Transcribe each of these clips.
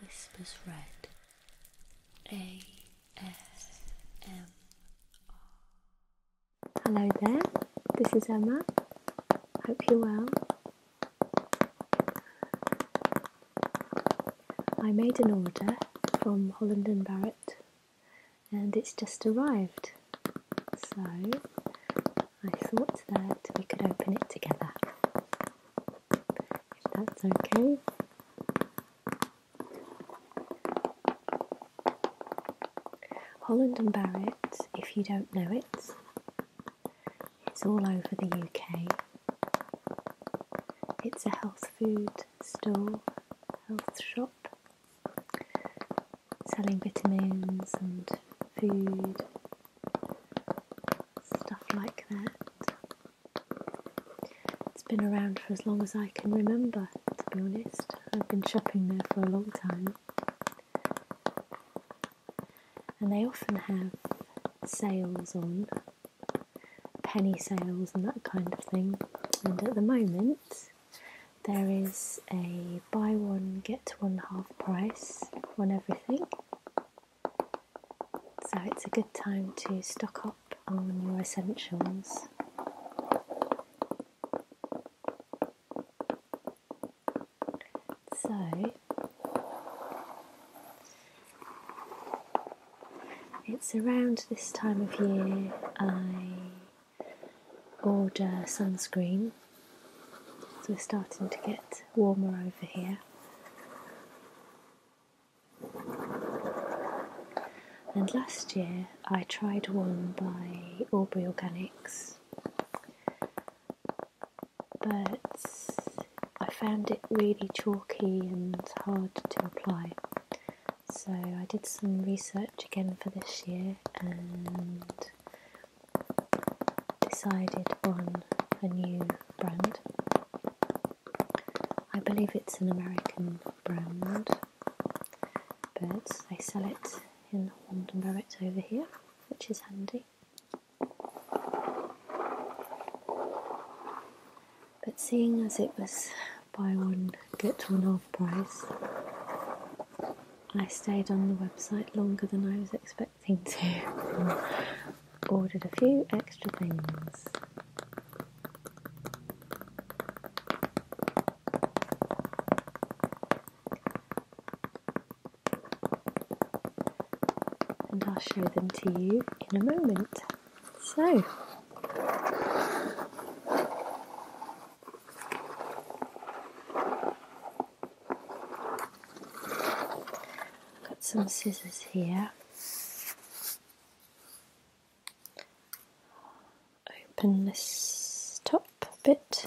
Whispers Red Hello there, this is Emma. Hope you're well. I made an order from Holland and Barrett and it's just arrived. So I thought that we could open it together if that's okay. Holland and Barrett, if you don't know it, it's all over the UK. It's a health food store, health shop, selling vitamins and food stuff like that. It's been around for as long as I can remember, to be honest. I've been shopping there for a long time. And they often have sales on, penny sales and that kind of thing. And at the moment, there is a buy one, get one half price on everything. So it's a good time to stock up on your essentials. So it's around this time of year I order sunscreen. So we're starting to get warmer over here. And last year I tried one by Aubrey Organics, but I found it really chalky and hard to apply. So I did some research again for this year and decided on a new brand. I believe it's an American brand, but they sell it in London Barrett over here, which is handy. But seeing as it was buy one, get one half price, I stayed on the website longer than I was expecting something Ordered a few extra things. And I'll show them to you in a moment. So, got some scissors here open this top bit.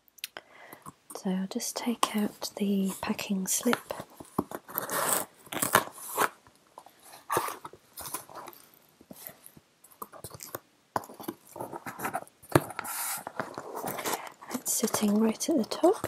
So I'll just take out the packing slip. It's sitting right at the top.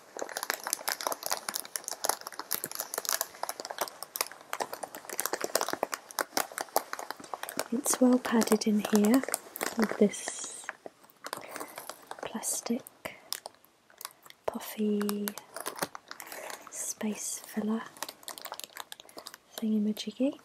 It's well padded in here with this plastic puffy space filler thingy, thingamajiggy.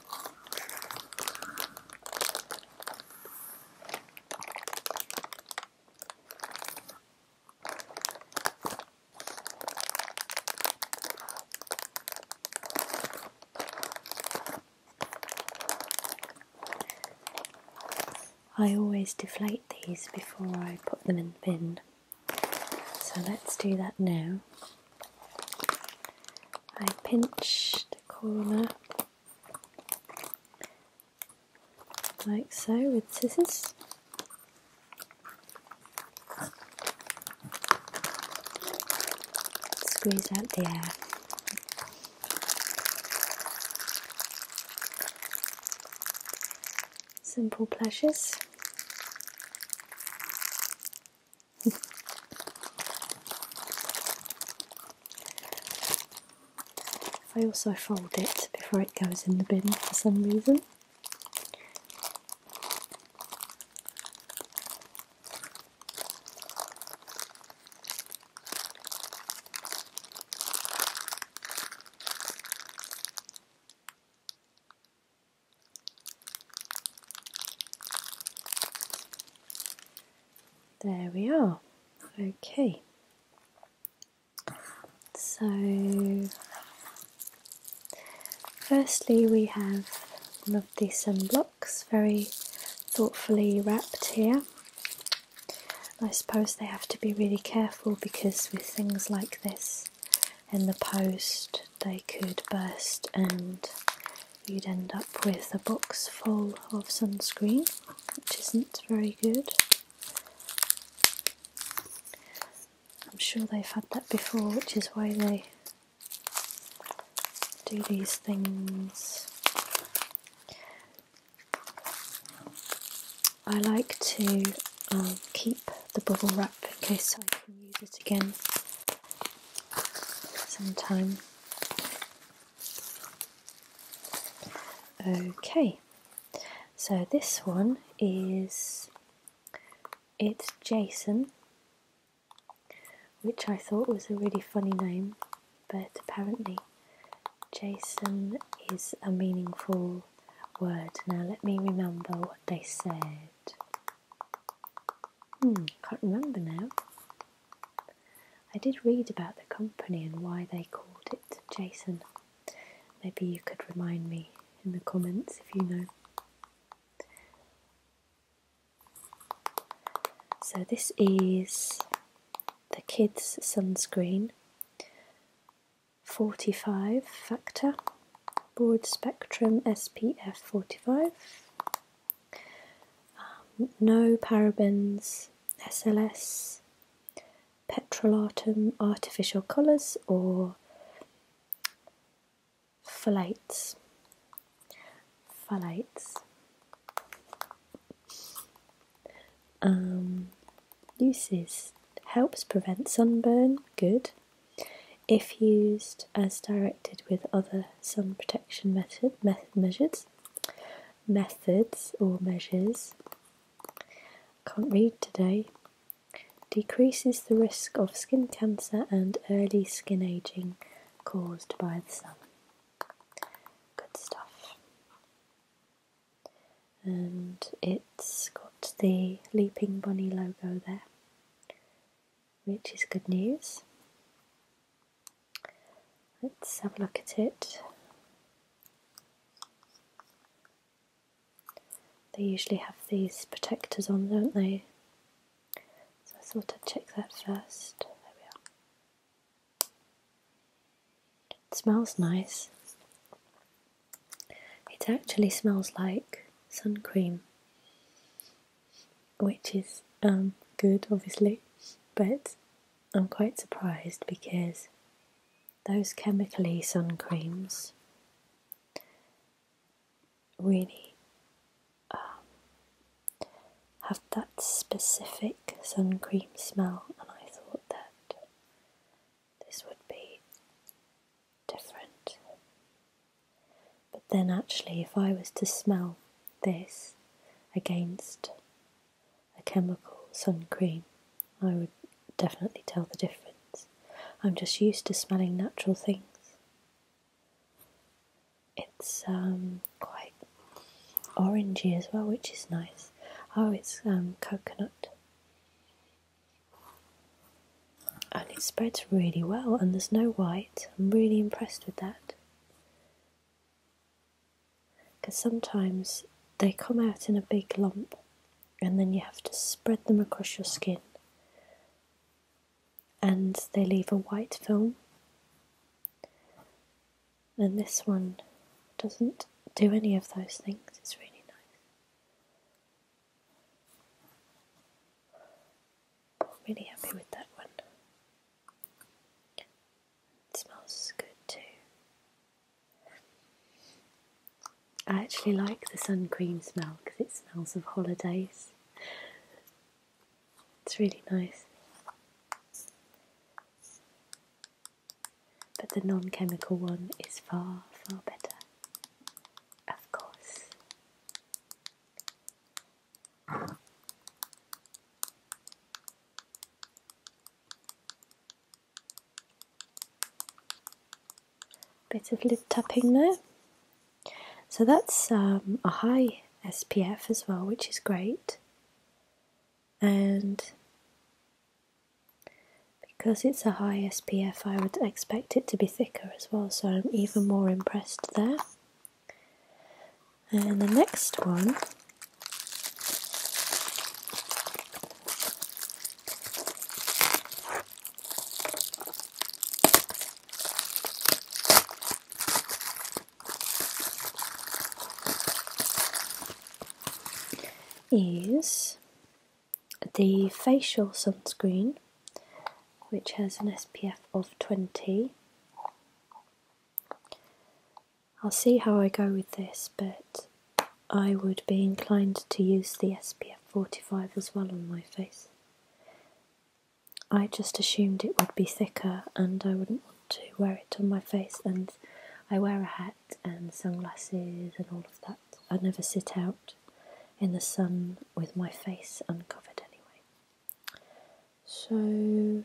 I always deflate these before I put them in the bin, so let's do that now. I pinch the corner like so with scissors. Squeeze out the air. Simple pleasures. I also fold it before it goes in the bin for some reason. There we are. Okay. So, firstly, we have one of the sunblocks very thoughtfully wrapped here. I suppose they have to be really careful because with things like this in the post, they could burst and you'd end up with a box full of sunscreen which isn't very good. I'm sure they've had that before, which is why they do these things. I like to um, keep the bubble wrap in case I can use it again sometime. Okay, so this one is It's Jason, which I thought was a really funny name, but apparently Jason is a meaningful word. Now let me remember what they said. Hmm, can't remember now. I did read about the company and why they called it Jason. Maybe you could remind me in the comments if you know. So, this is the kids' sunscreen 45 factor broad spectrum SPF 45. Um, no parabens, SLS, petrolatum, artificial colours, or phthalates. Phthalates. Um, uses helps prevent sunburn, good. If used as directed with other sun protection method, method methods or measures, can't read today. Decreases the risk of skin cancer and early skin aging caused by the sun. Good stuff. And it's got the Leaping Bunny logo there, which is good news. Let's have a look at it. They usually have these protectors on, don't they? So I thought I'd check that first. smells nice. It actually smells like sun cream, which is um, good, obviously, but I'm quite surprised because those chemically sun creams really um, have that specific sun cream smell, and I thought that this would be different. But then, actually, if I was to smell this against a chemical sun cream, I would definitely tell the difference. I'm just used to smelling natural things. It's um, quite orangey as well, which is nice. Oh, it's um, coconut. And it spreads really well, and there's no white. I'm really impressed with that because sometimes they come out in a big lump and then you have to spread them across your skin and they leave a white film and this one doesn't do any of those things it's really nice I'm really happy with that one it smells good too. I actually like the sun cream smell because it smells of holidays. It's really nice. But the non chemical one is far, far better. Of course. Bit of lip tapping there. So that's um, a high SPF as well, which is great. And because it's a high SPF, I would expect it to be thicker as well, so I'm even more impressed there. And the next one is the facial sunscreen which has an SPF of 20 I'll see how I go with this, but I would be inclined to use the SPF 45 as well on my face. I just assumed it would be thicker and I wouldn't want to wear it on my face and I wear a hat and sunglasses and all of that. I never sit out in the sun with my face uncovered anyway. So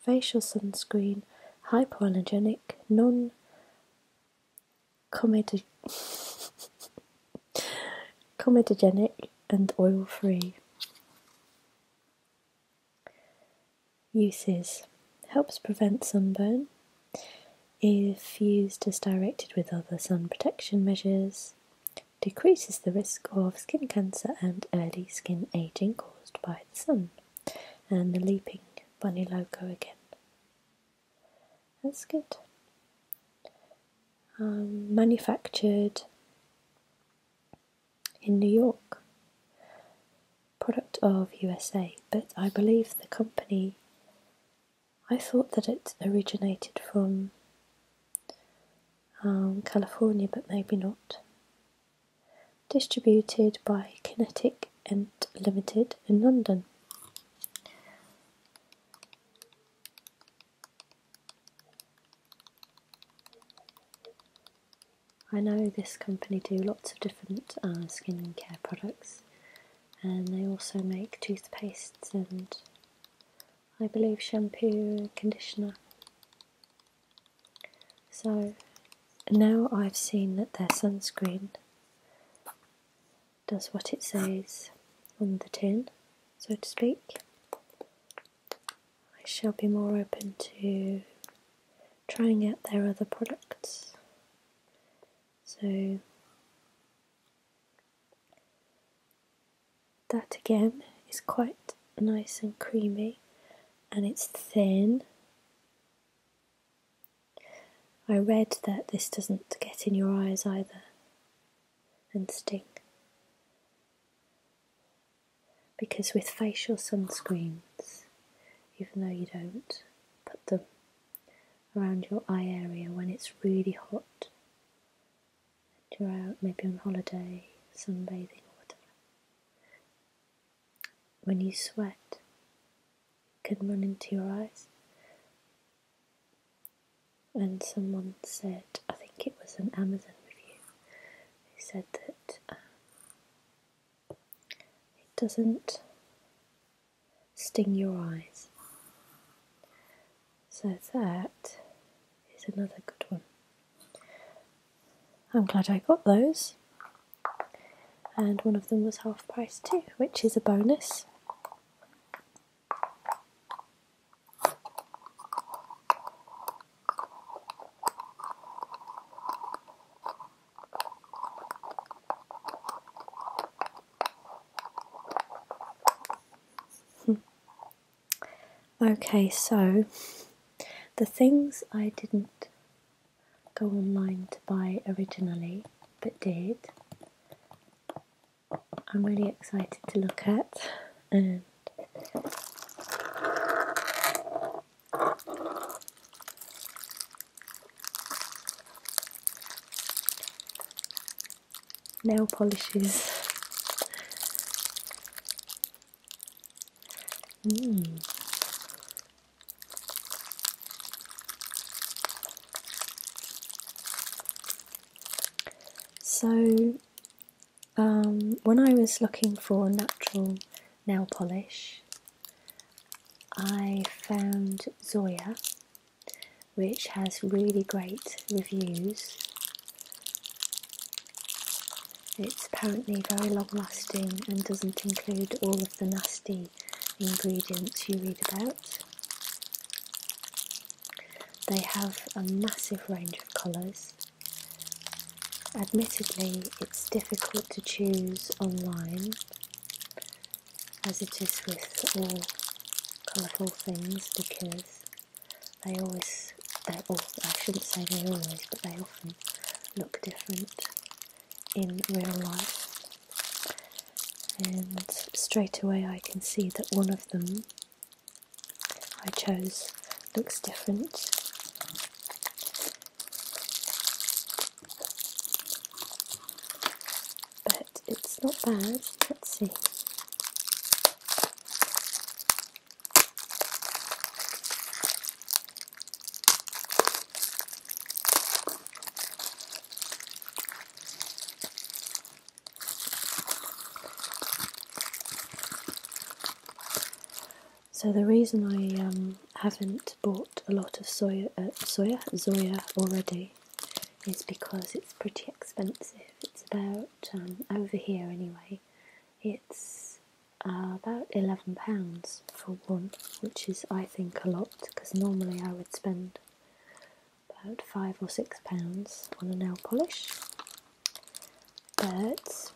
facial sunscreen, hypoallergenic, non comedogenic and oil-free. Uses. Helps prevent sunburn if used as directed with other sun protection measures, decreases the risk of skin cancer and early skin aging caused by the sun and the leaping bunny loco again. That's good. Um, manufactured in New York, product of USA, but I believe the company. I thought that it originated from um, California, but maybe not distributed by Kinetic Ent Limited in London. I know this company do lots of different uh, skincare products and they also make toothpastes and I believe shampoo conditioner. So now I've seen that their sunscreen does what it says on the tin, so to speak, I shall be more open to trying out their other products. So that again is quite nice and creamy and it's thin I read that this doesn't get in your eyes either and sting. Because with facial sunscreens, even though you don't put them around your eye area when it's really hot, and you're out maybe on holiday, sunbathing or whatever, when you sweat it can run into your eyes. And someone said, I think it was an Amazon review, who said that um, it doesn't sting your eyes. So that is another good one. I'm glad I got those and one of them was half price too, which is a bonus. Hmm. okay, so the things I didn't go online to buy originally, but did. I'm really excited to look at and nail polishes. Mm. So, um, when I was looking for natural nail polish, I found Zoya, which has really great reviews. It's apparently very long lasting and doesn't include all of the nasty ingredients you read about. They have a massive range of colours. Admittedly, it's difficult to choose online, as it is with all colourful things, because they always, they all, I shouldn't say they always, but they often look different in real life. And straight away I can see that one of them I chose looks different. But it's not bad. Let's see. So the reason I um, haven't bought a lot of soya, zoya uh, already is because it's pretty expensive. It's about um, over here anyway. It's uh, about eleven pounds for one, which is I think a lot because normally I would spend about five or six pounds on a nail polish, but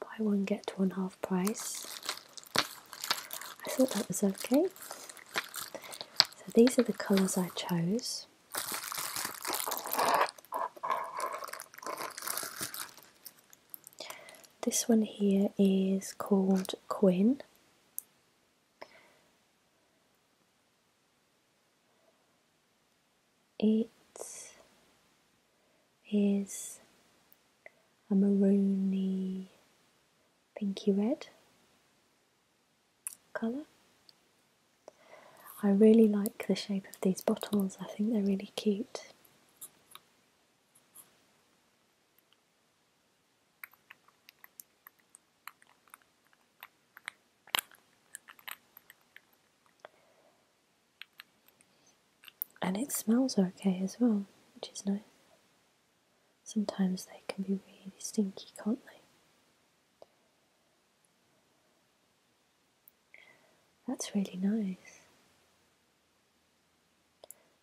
buy one get one half price. I thought that was okay. So these are the colours I chose. This one here is called Quinn. It is a maroony pinky red colour. I really like the shape of these bottles, I think they're really cute. And it smells okay as well, which is nice. Sometimes they can be really stinky, can't they? That's really nice.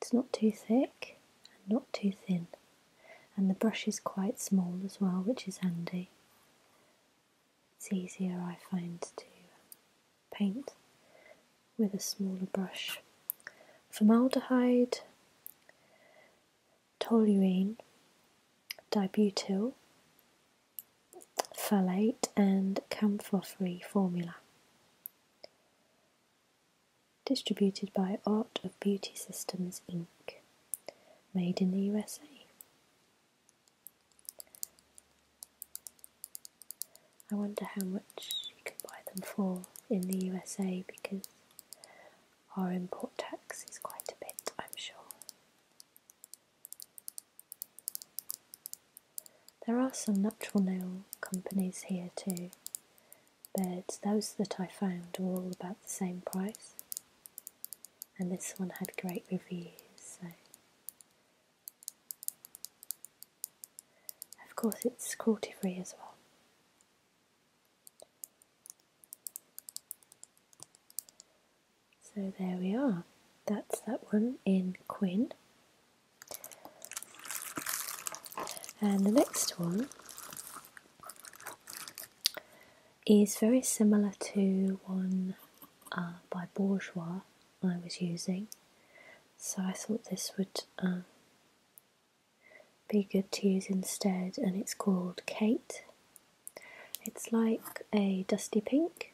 It's not too thick and not too thin, and the brush is quite small as well, which is handy. It's easier, I find, to paint with a smaller brush. Formaldehyde, toluene, dibutyl, phthalate, and camphor free formula. Distributed by Art of Beauty Systems Inc. Made in the USA. I wonder how much you can buy them for in the USA because our import tax is quite a bit, I'm sure. There are some natural nail companies here too, but those that I found were all about the same price, and this one had great reviews. So, of course, it's cruelty free as well. So there we are. That's that one in Quinn. And the next one is very similar to one uh, by Bourgeois I was using, so I thought this would um, be good to use instead, and it's called Kate. It's like a dusty pink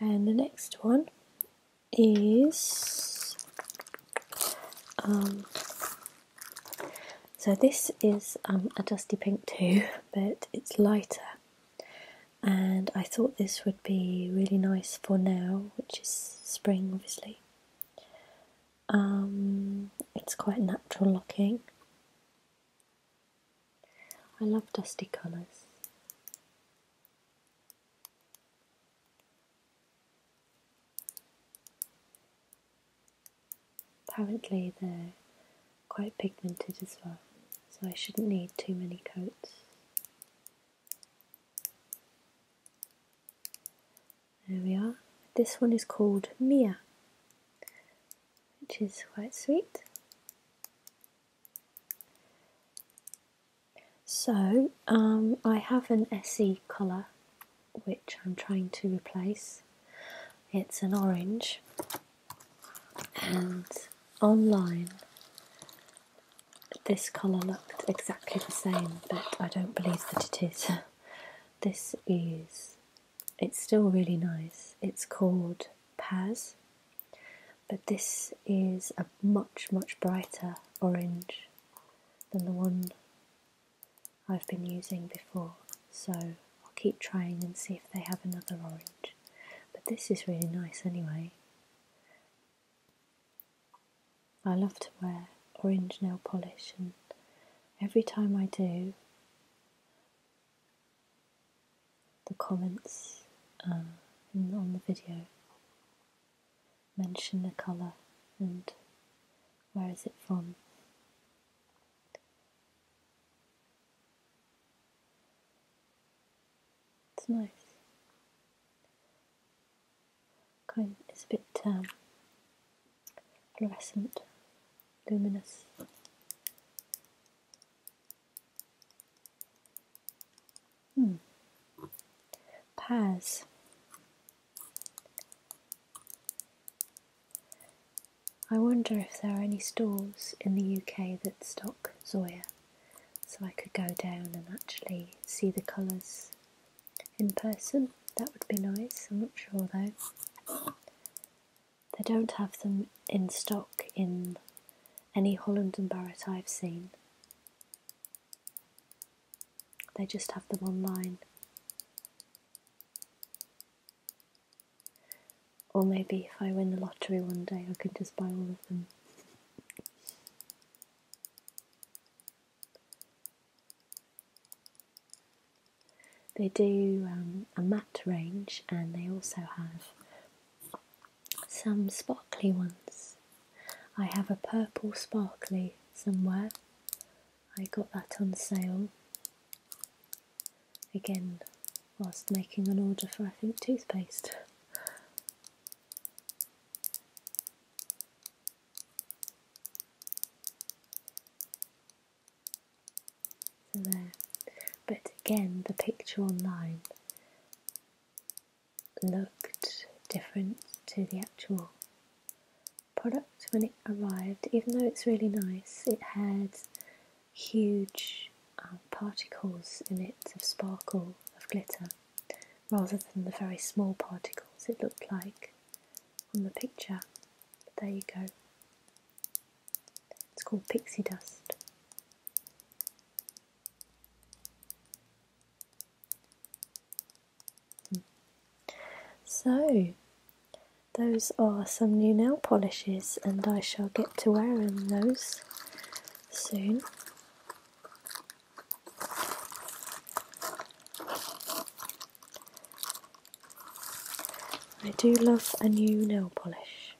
and the next one is um, so this is um, a dusty pink too but it's lighter and I thought this would be really nice for now which is spring obviously um, it's quite natural looking I love dusty colours Apparently they're quite pigmented as well, so I shouldn't need too many coats. There we are. This one is called Mia, which is quite sweet. So um, I have an SE colour which I'm trying to replace. It's an orange and online this colour looked exactly the same but I don't believe that it is. this is, it's still really nice. It's called Paz but this is a much much brighter orange than the one I've been using before so I'll keep trying and see if they have another orange but this is really nice anyway I love to wear orange nail polish and every time I do the comments uh, on the video mention the colour and where is it from. It's nice. Kind it's a bit um, fluorescent, luminous. Hmm. Paz. I wonder if there are any stores in the UK that stock Zoya, so I could go down and actually see the colours in person. That would be nice. I'm not sure though. They don't have them in stock in any Holland and Barrett I've seen. They just have them online. Or maybe if I win the lottery one day, I could just buy all of them. They do um, a matte range and they also have some sparkly ones. I have a purple sparkly somewhere. I got that on sale again whilst making an order for I think toothpaste. So there. But again the picture online looked different to the actual product when it arrived, even though it's really nice. It had huge um, particles in it of sparkle, of glitter, rather than the very small particles it looked like on the picture. But there you go. It's called pixie dust. So, those are some new nail polishes, and I shall get to wearing those soon. I do love a new nail polish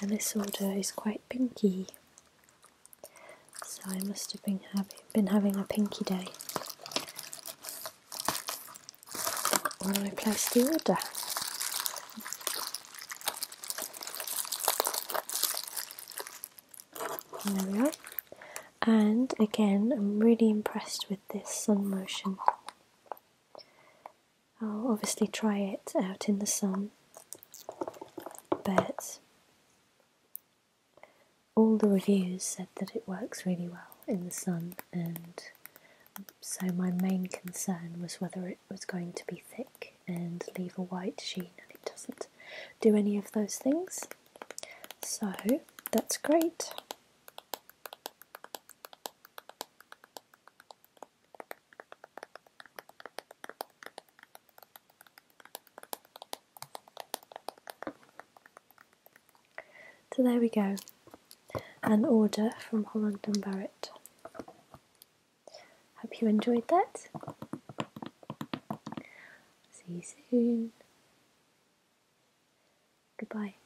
and this order is quite pinky, so I must have been, having a pinky day when I placed the order. there we are. And again, I'm really impressed with this sun motion. I'll obviously try it out in the sun, but all the reviews said that it works really well in the sun, and so my main concern was whether it was going to be thick and leave a white sheen, and it doesn't do any of those things. So that's great. So there we go, an order from Holland and Barrett. Hope you enjoyed that. See you soon. Goodbye.